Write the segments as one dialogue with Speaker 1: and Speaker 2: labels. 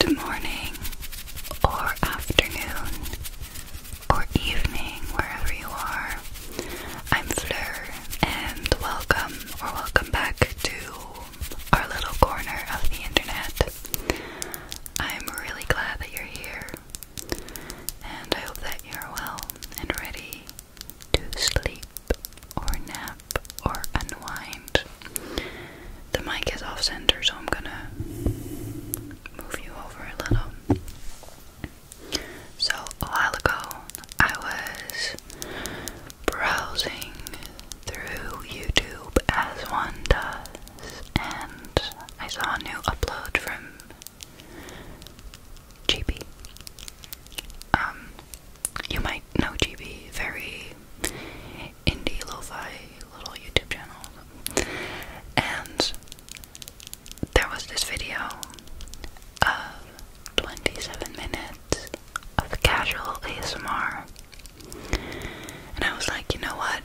Speaker 1: Good morning, or afternoon, or evening, wherever you are. I'm Flur, and welcome or welcome back to our little corner of the internet. I'm really glad that you're here, and I hope that you're well and ready to sleep or nap or unwind. The mic is off center, so I'm gonna move you over a little. So, a while ago, I was browsing through YouTube as one does, and I saw a new upload from GB. Um, you might know GB, very indie lo-fi little YouTube channel. And there was this video of 27 minutes of casual ASMR. And I was like, you know what?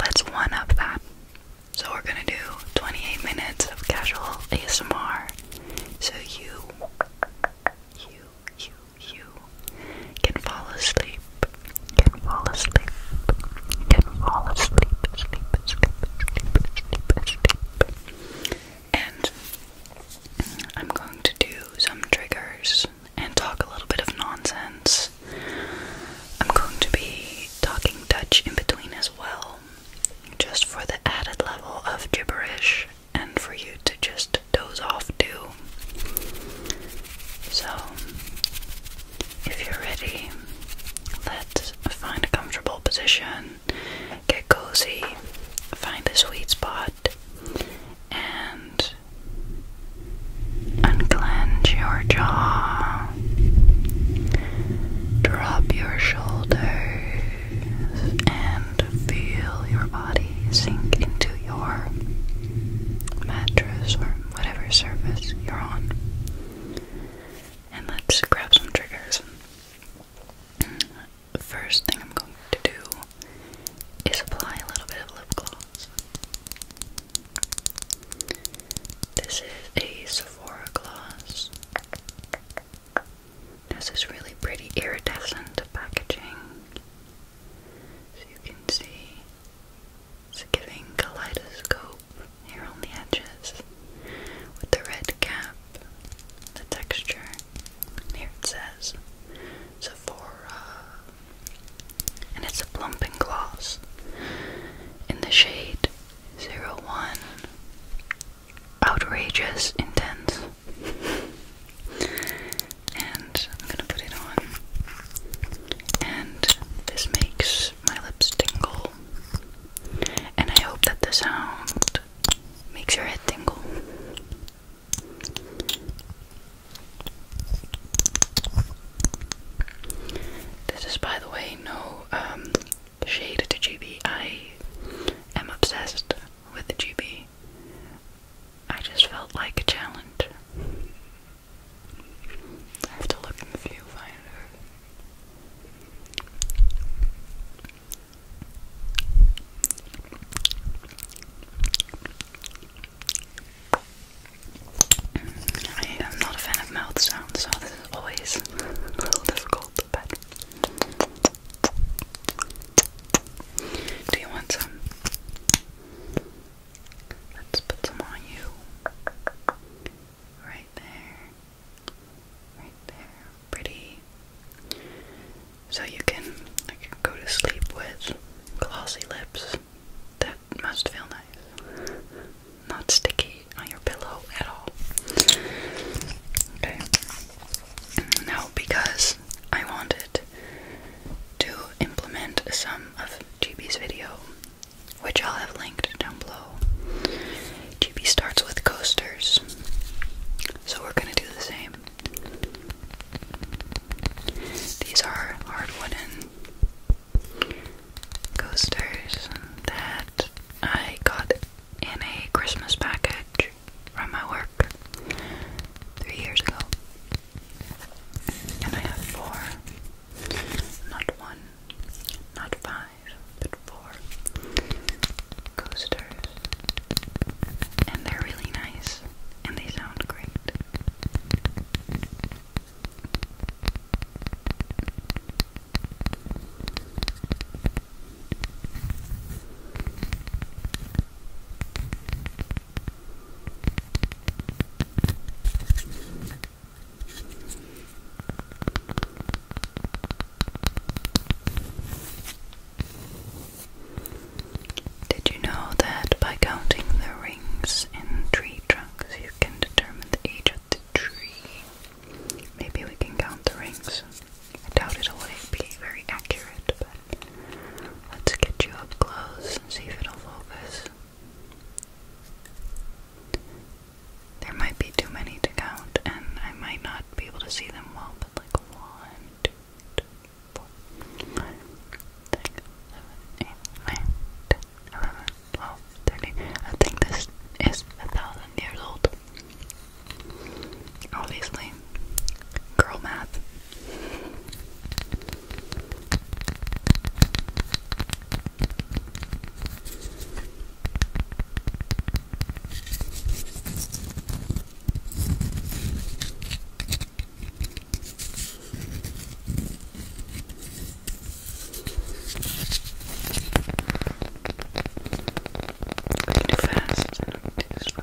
Speaker 1: Let's one up that. So we're gonna do 28 minutes of casual ASMR. So you, you, you, you can fall asleep, can fall asleep, can fall asleep, And I'm going to do some triggers and talk a little bit of nonsense. I'm going to be talking Dutch in between as well, just for the added level of gibberish and for you to just doze off too. So, if you're ready, let's find a comfortable position, get cozy, find a sweet spot, and unclench your jaw, drop your shoulders, and and feel your body sink into your mattress or whatever surface you're on. And let's grab some triggers. first thing I'm going to do is apply a little bit of lip gloss. This is a Sephora gloss. This is really pretty iridescent packaging. So you can see it's giving kaleidoscope here on the edges with the red cap, the texture. here it says Sephora, and it's a plumping gloss in the shade zero one, Outrageous Intense. and I'm gonna put it on. And this makes my lips tingle. And I hope that the sound makes your head tingle. This is, by the way, no um, shade to GB. I am obsessed with GB. I just felt like a challenge. I have to look in the viewfinder. I am not a fan of mouth sounds, so this is always a difficult, but do you want some? Let's put some on you. Right there. Right there. Pretty. So you can go to sleep with glossy lips. That must feel nice. Not sticky on your pillow at all. Okay. Now because I wanted to implement some of GB's video, which I'll have linked down below. GB starts with coasters, so we're gonna do the same. These are hard wooden coasters that I got in a Christmas package from my work three years ago. And I have four. Not one, not five, but four coasters. And they're really nice and they sound great. Did you know that by counting the rings in tree trunks you can determine the age of the tree? Maybe we can count the rings. I doubt it'll be very accurate let's get you up close and see if it'll focus. There might be too many to count, and I might not be able to see them well, but like one, two, three, four, five, six, seven, eight, nine, ten, eleven, twelve, thirteen. I think this is a thousand years old. Obviously. Girl math. We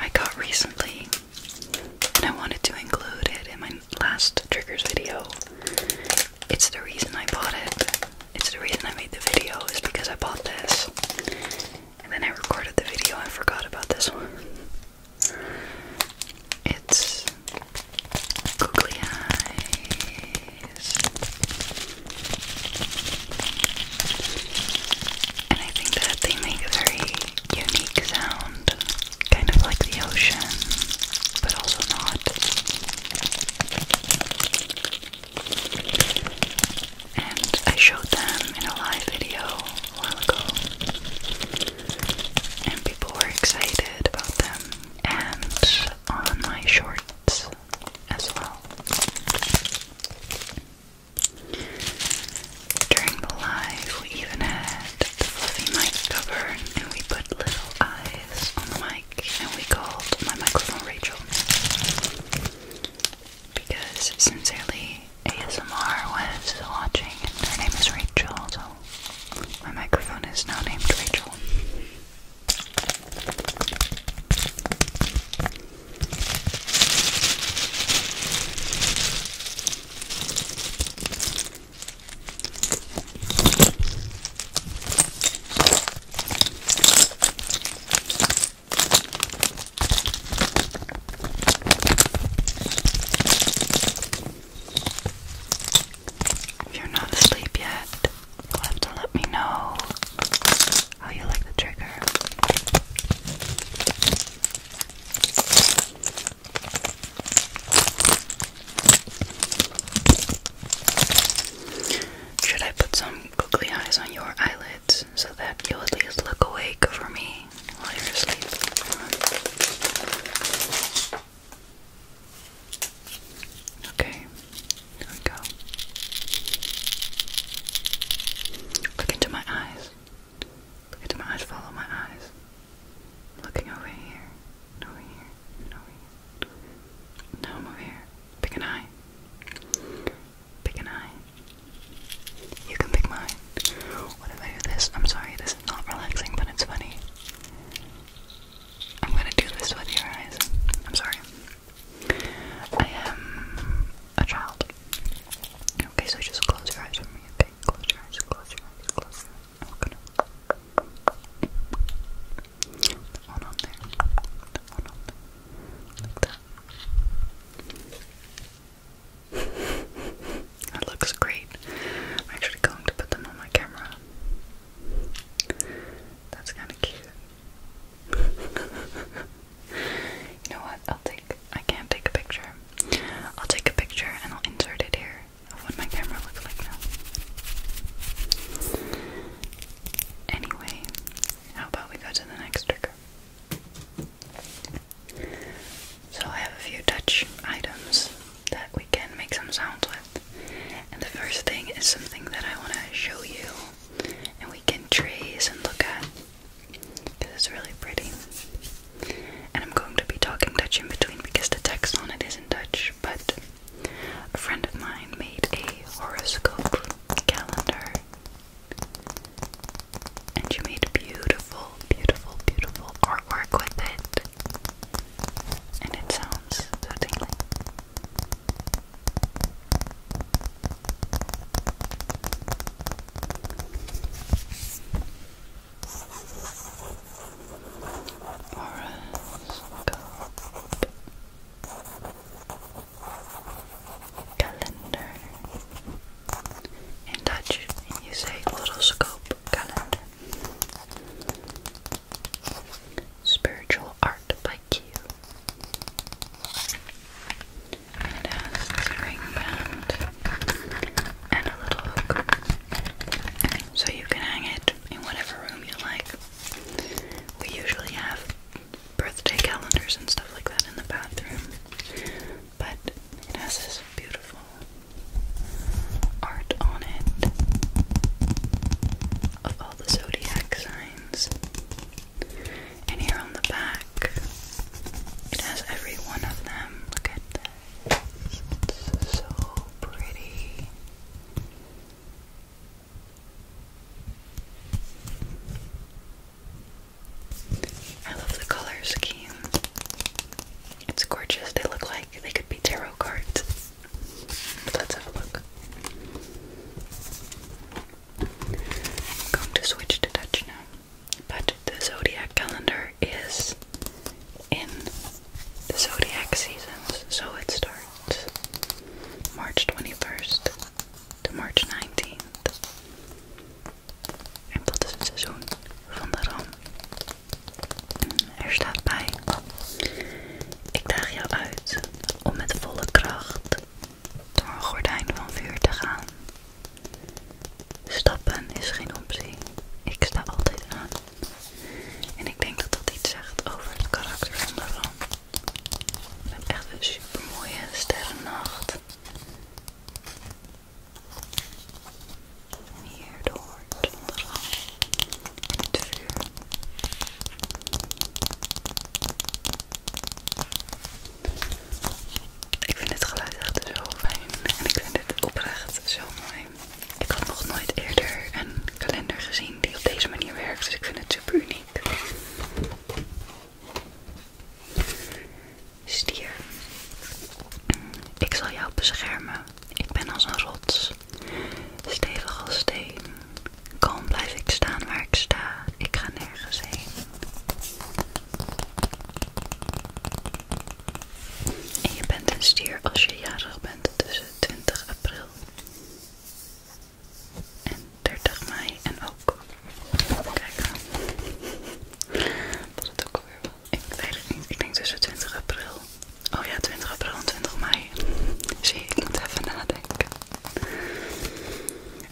Speaker 1: I got recently, and I wanted to include it in my last triggers video. It's the reason I bought it. It's the reason I made the video is because I bought this. And then I recorded the video and forgot about this one. It's googly eyes. And I think that they make a very unique sound, kind of like the ocean, but also not. And I showed them in a live video a while ago, and people were excited about them, and on my shorts as well. During the live, we even had the fluffy mic cover and we put little eyes on the mic and we called my microphone Rachel. Because sincerely, ASMR was watching and her name is Rachel, so my microphone is now named Rachel you're not asleep yet, you'll have to let me know. Oh, you like the trigger. Should I put some googly eyes on your eyelids so that you at least look awake for me while you're asleep? Okay, here we go. Look into my eyes. Look at my eyes, follow my eyes. Looking over here, over here, over here. Now I'm over here. Pick an eye. Pick an eye. You can pick mine. What I do this? I'm sorry, this is not relaxing, but it's funny. I'm gonna do this with your eyes. I'm sorry. I am a child. Okay, so just close your eyes for me, okay? Close your eyes, close your eyes, close your oh, one on there. Put one on there. Like that. that looks great. I'm actually going to put them on my camera. That's kind of cute. You know what? I'll take. I can't take a picture. I'll take a picture and I'll insert it here of what my camera looks like now. Anyway, how about we go to the next trigger? So I have a few touch items that we can make some sounds with. And the first thing is something that I want to show you and we can trace and look at. This is really pretty. And I'm going to be talking Dutch in between because the text on it is in Dutch, but a friend of mine made a horoscope calendar. And she made beautiful, beautiful, beautiful artwork with it. And it sounds so tingly. Horoscope calendar. In Dutch, you say horoscope calendar. Spiritual art by Q. It has a ring band and a little hook. So you can hang it in whatever room you like. We usually have birthday calendars and stuff like that in the bathroom. But it has this beautiful art on it of all the zodiac signs. And here on the back, it has every one of them. Look at that! It's so pretty. I love the color scheme. It's gorgeous. They look like they could be tarot cards. let's have a look. I'm going to switch to Dutch now. But the zodiac calendar is in the zodiac seasons, so it starts March 21st to March 19th. En dat is het seizoen van de ram. Er staat bij: Ik draag jou uit om met volle kracht door een gordijn van vuur te gaan Stappen is geen optie. Ik sta altijd aan. En ik denk dat dat iets zegt over het karakter van de ramp. We echt een super sterrennacht. En hier de de ramp. En het vuur. Ik vind dit geluid echt zo fijn en ik vind dit oprecht zo mooi. Ik had nog nooit eerder een kalender gezien die op deze manier werkt, dus ik vind het super uniek. Stier, ik zal jou beschermen. Ik ben als een rots, stevig als steen. Kalm blijf ik staan waar ik sta. Ik ga nergens heen. En je bent een stier als je jarig bent tussen 20 april en 30 mei en ook. Kijk aan. Was het ook weer. wel? Ik weet het niet. Ik denk tussen 20 april. Oh ja, 20 april en 20 mei. Zie, ik moet even nadenken.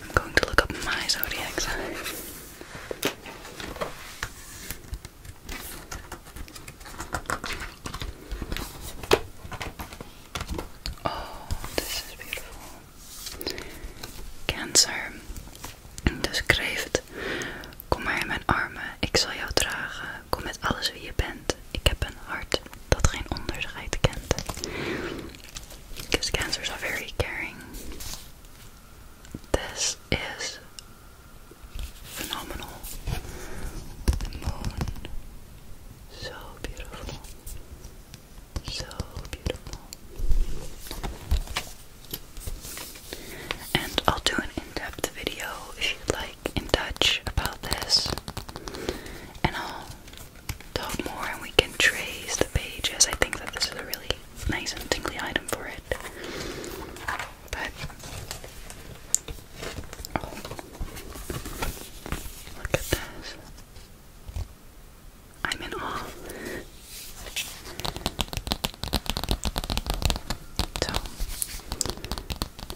Speaker 1: I'm going to look up my zodiac sign. Oh, this is beautiful. Cancer, dus het. Kom maar in mijn armen, ik zal jou dragen. Kom met alles wie je bent. Ik heb een hart dat geen onderscheid kent. Cancer is al very caring. This is phenomenal. The moon, so beautiful, so beautiful. And I'll do an in-depth video if you'd like in touch about this. And I'll talk more and we can trace the pages. I think that this is a really nice and tingly item for it. But oh, look at this. I'm in awe. So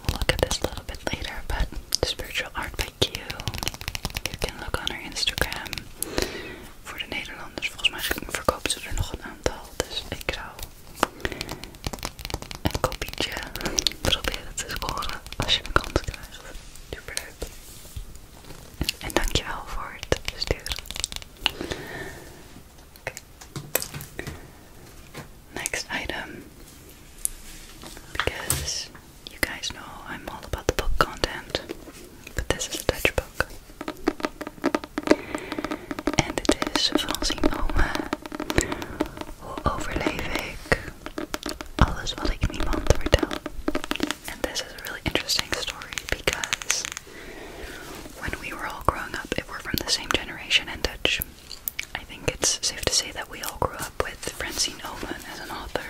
Speaker 1: we'll look at this a little bit later, but Spiritual Art by Q. You can look on her Instagram voor de Nederlanders. Volgens mij verkopen ze er nog een aantal. Dus ik zou een kopietje proberen te scoren als je een kans krijgt. Superleuk. En dankjewel voor het sturen. oké Next item. Because you guys know I'm all about the book content, but this is a Dutch book. En dit is van Simone. Hoe overleef ik alles wat ik niemand vertel? And this is a really interesting story because when we were all growing up, if we're from the same generation in Dutch, I think it's safe to say that we all grew up with Francine Oman as an author.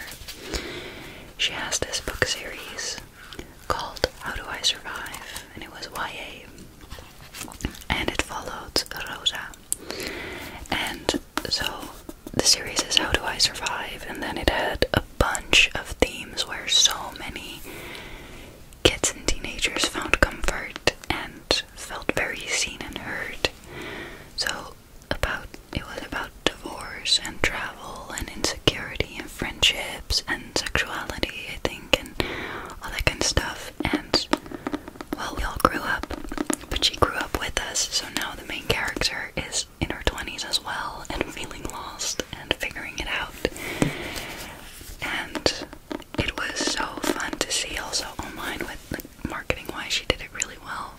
Speaker 1: She has this book series called How Do I Survive? and it was YA. And it followed Rosa. And so the series is How Do I Survive? and then it had a bunch of themes where so many kids and teenagers found comfort and felt very seen and heard. So about it was about divorce and travel and insecurity and friendships and sexuality, I think, and all that kind of stuff. And well, we all grew up, but she grew up with us, so now the main character is in her 20s as well and feeling lost and figuring it out. And it was so fun to see also online with marketing wise, she did it really well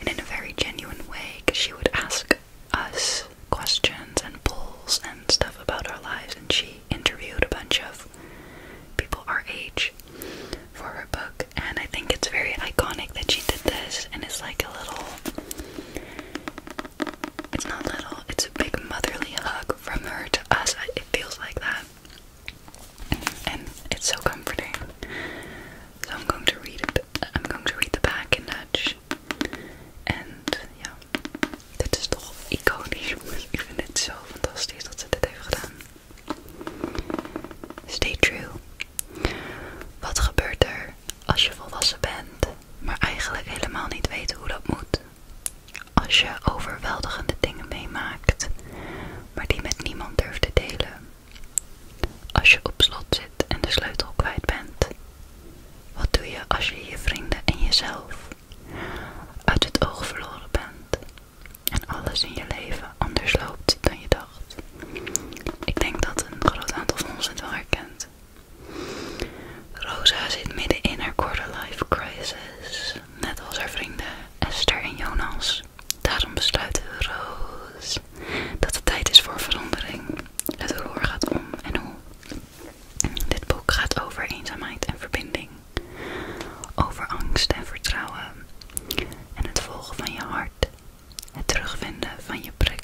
Speaker 1: and in a very genuine way because she would ask us questions and polls and stuff about our lives, and she interviewed a bunch of people our age for her book. And I think it's very iconic that she did this, and it's like a little it's not little, it's a big motherly hug from her to us. It feels like that. And it's so comforting. So I'm going to read it. I'm going to read the back in Dutch. And yeah, Dit is toch iconisch, Ik vind het zo fantastisch dat ze dit heeft gedaan. Stay true. Wat gebeurt er als je volwassen bent, maar eigenlijk helemaal niet weet hoe dat moet? Als je overweldigende dingen meemaakt, maar die met niemand durft te delen. Als je op slot zit en de sleutel kwijt bent, wat doe je als je je vrienden en jezelf uit het oog verloren bent en alles in je leven anders loopt dan je dacht? Ik denk dat een groot aantal van ons het wel herkent. Rosa zit midden in haar Life crisis, net als haar vrienden Esther en Jonas. Daarom besluiten Roos dat het tijd is voor verandering. Het roer gaat om en hoe. Dit boek gaat over eenzaamheid en verbinding, over angst en vertrouwen en het volgen van je hart, het terugvinden van je prik.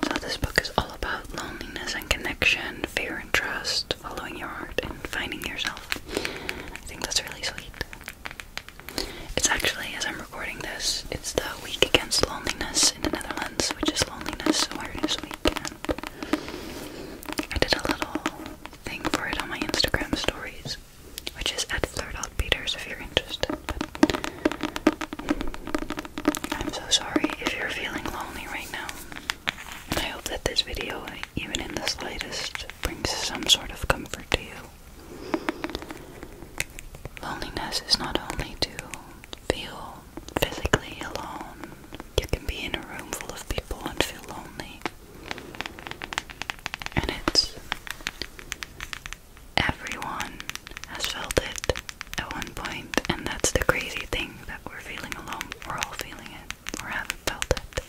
Speaker 1: So this book is all about loneliness and connection, fear and trust, following your heart and finding yourself. I think that's really sweet. It's actually, as recording this, it's the Week Against Loneliness in the Netherlands, which is Loneliness Awareness week. I did a little thing for it on my Instagram stories, which is at flirt.peters if you're interested. I'm so sorry if you're feeling lonely right now. I hope that this video, even in the slightest, brings some sort of comfort to you. Loneliness is not only to feel physically alone. You can be in a room full of people and feel lonely. And it's. Everyone has felt it at one point, and that's the crazy thing that we're feeling alone. We're all feeling it, We're all felt it.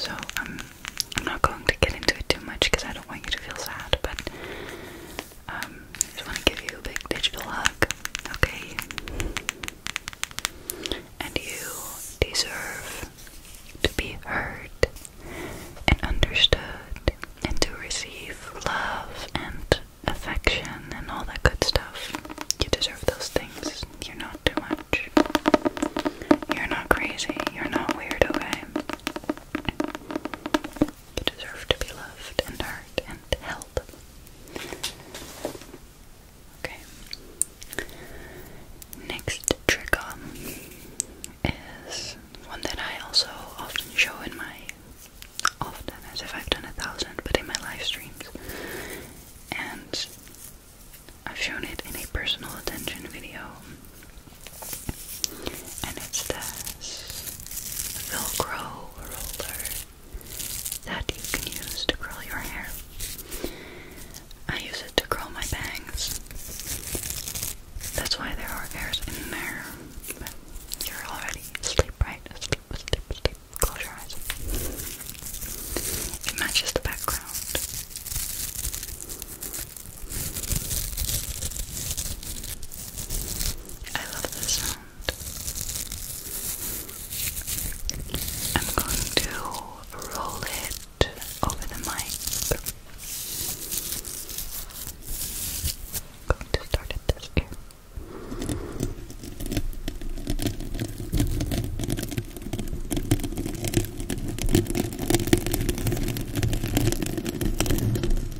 Speaker 1: So um, I'm not going to get into it too much because I don't want you to feel sad. But um, I just want to give you a big digital hug, okay? And you deserve to be heard and understood and to receive love and affection and all that good stuff. You deserve those things. You're not too much. You're not crazy. You're not weird, okay? You deserve to be loved and heard and held. Okay. Next trigger is one that I also often show in my often as if I've done a thousand, but in my live streams. And I've shown it in a personal attention video and it's this Velcro roller that you can use to curl your hair. I use it to curl my bangs. That's why there are hairs in there. you're already asleep, right? Asleep, asleep, asleep. Close your eyes. It matches the background. I love this sound. I'm going to roll it over the mic. going to start at this ear.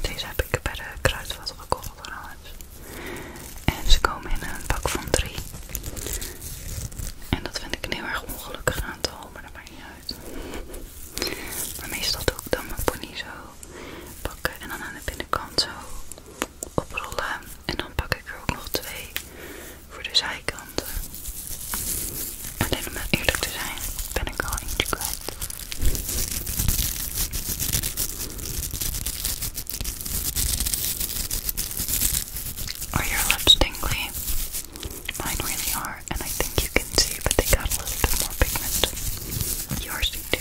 Speaker 1: Deze heb ik bij de kruidvat gekocht trouwens. En ze komen in een pak van drie. En dat vind ik een heel erg ongelukkig aantal, maar dat maakt niet uit. Maar meestal doe ik dan mijn pony zo pakken en dan aan de binnenkant zo oprollen. En dan pak ik er ook nog twee voor de zijkanten. En helemaal eerlijk te zijn, ben ik al eentje kwijt. Are your lips tingly? Mine really are, and I think you can see, but they got a little bit more pigment. Yours do too.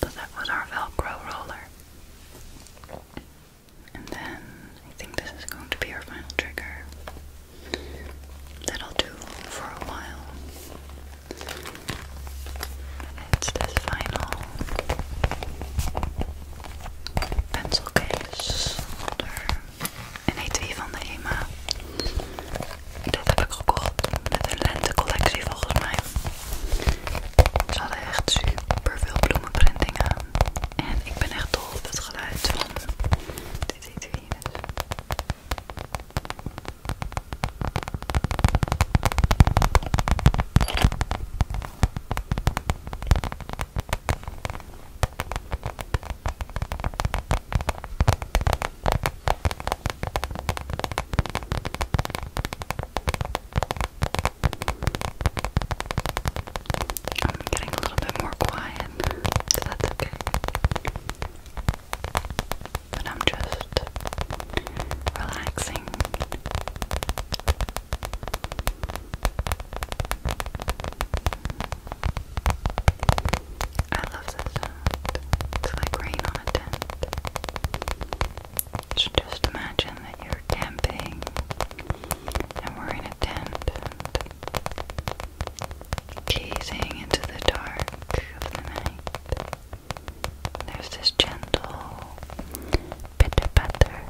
Speaker 1: So that was our Velcro roller. And then I think this is going to be our final trigger. That'll do for a while. It's this final pencil case holder. En een etui van de Emma, Dat heb ik gekocht met een lentecollectie volgens mij. Ze hadden echt super veel bloemenprintingen. En ik ben echt dol op het geluid van dit etui. I'm getting a little bit more quiet, so that's okay. But I'm just relaxing. I love the sound. It's like rain on a tent. just imagine that you're camping and we're in a tent gazing into the dark of the night. There's this gentle pitter patter,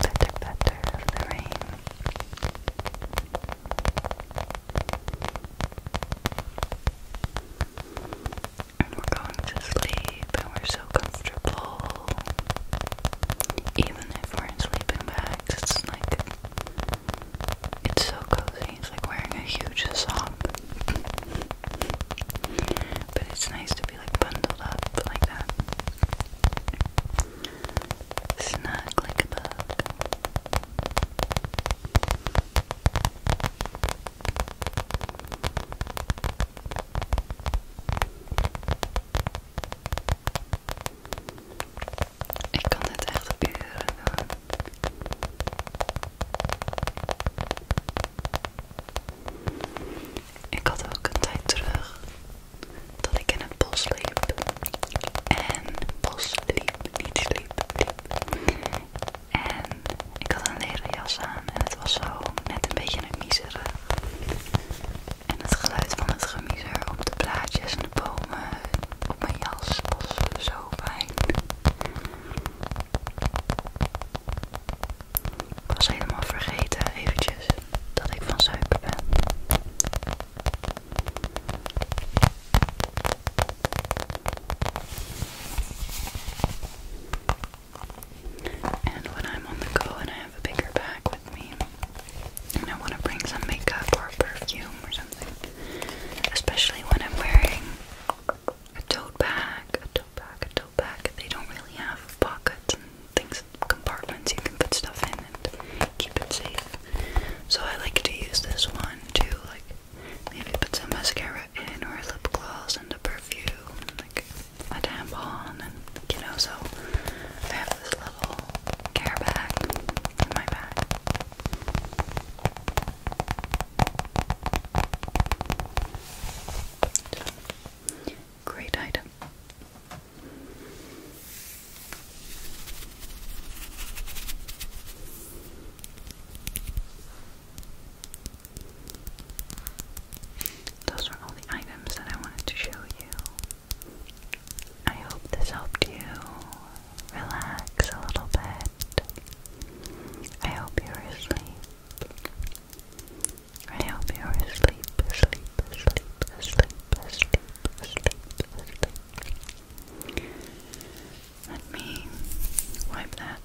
Speaker 1: pitter patter of the rain we're going to sleep, and we're so comfortable. Even if we're in sleeping bags, it's like it's so cozy. It's like wearing a huge sock. but it's nice to be like bundled up like that. Snug like a Ik kan het echt uren doen. Ik had ook een tijd terug dat ik in het bos liep. En bos liep, niet sliep, liep. En ik had een leren jas aan en het was zo net een beetje een miezeren. En het geluid van het gemiezer op de blaadjes en de bomen op mijn jas was zo fijn. Ik was helemaal vergeten eventjes dat ik van suiker ben. And when I'm on the go and I have a bigger bag with me, and I want to bring some makeup or perfume or something, especially when I'm wearing a tote bag, a tote bag, a tote bag, they don't really have pockets and things compartments you can put stuff in and keep it safe. So I like to use this one to like maybe put some mascara in or lip gloss and a perfume, like a tampon and you know, so I have this little care bag in my bag. great item. Those are all the items that I wanted to show you. I hope this helped you relax a little bit. I hope you're asleep. I hope you're asleep, asleep, asleep, asleep, asleep sleep, Let me wipe that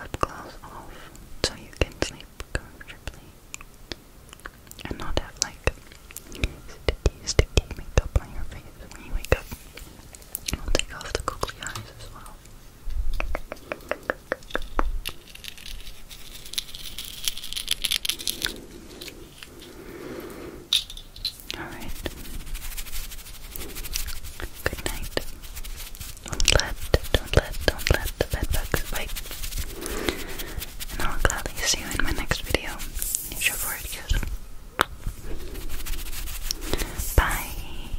Speaker 1: lip gloss off so you can sleep comfortably and not have like sticky, sticky makeup on your face when you wake up. I'll take off the googly eyes as well. Alright. Good night. Don't let, don't let, don't let the bed bite. And I'll gladly see you in my next video. If you Bye.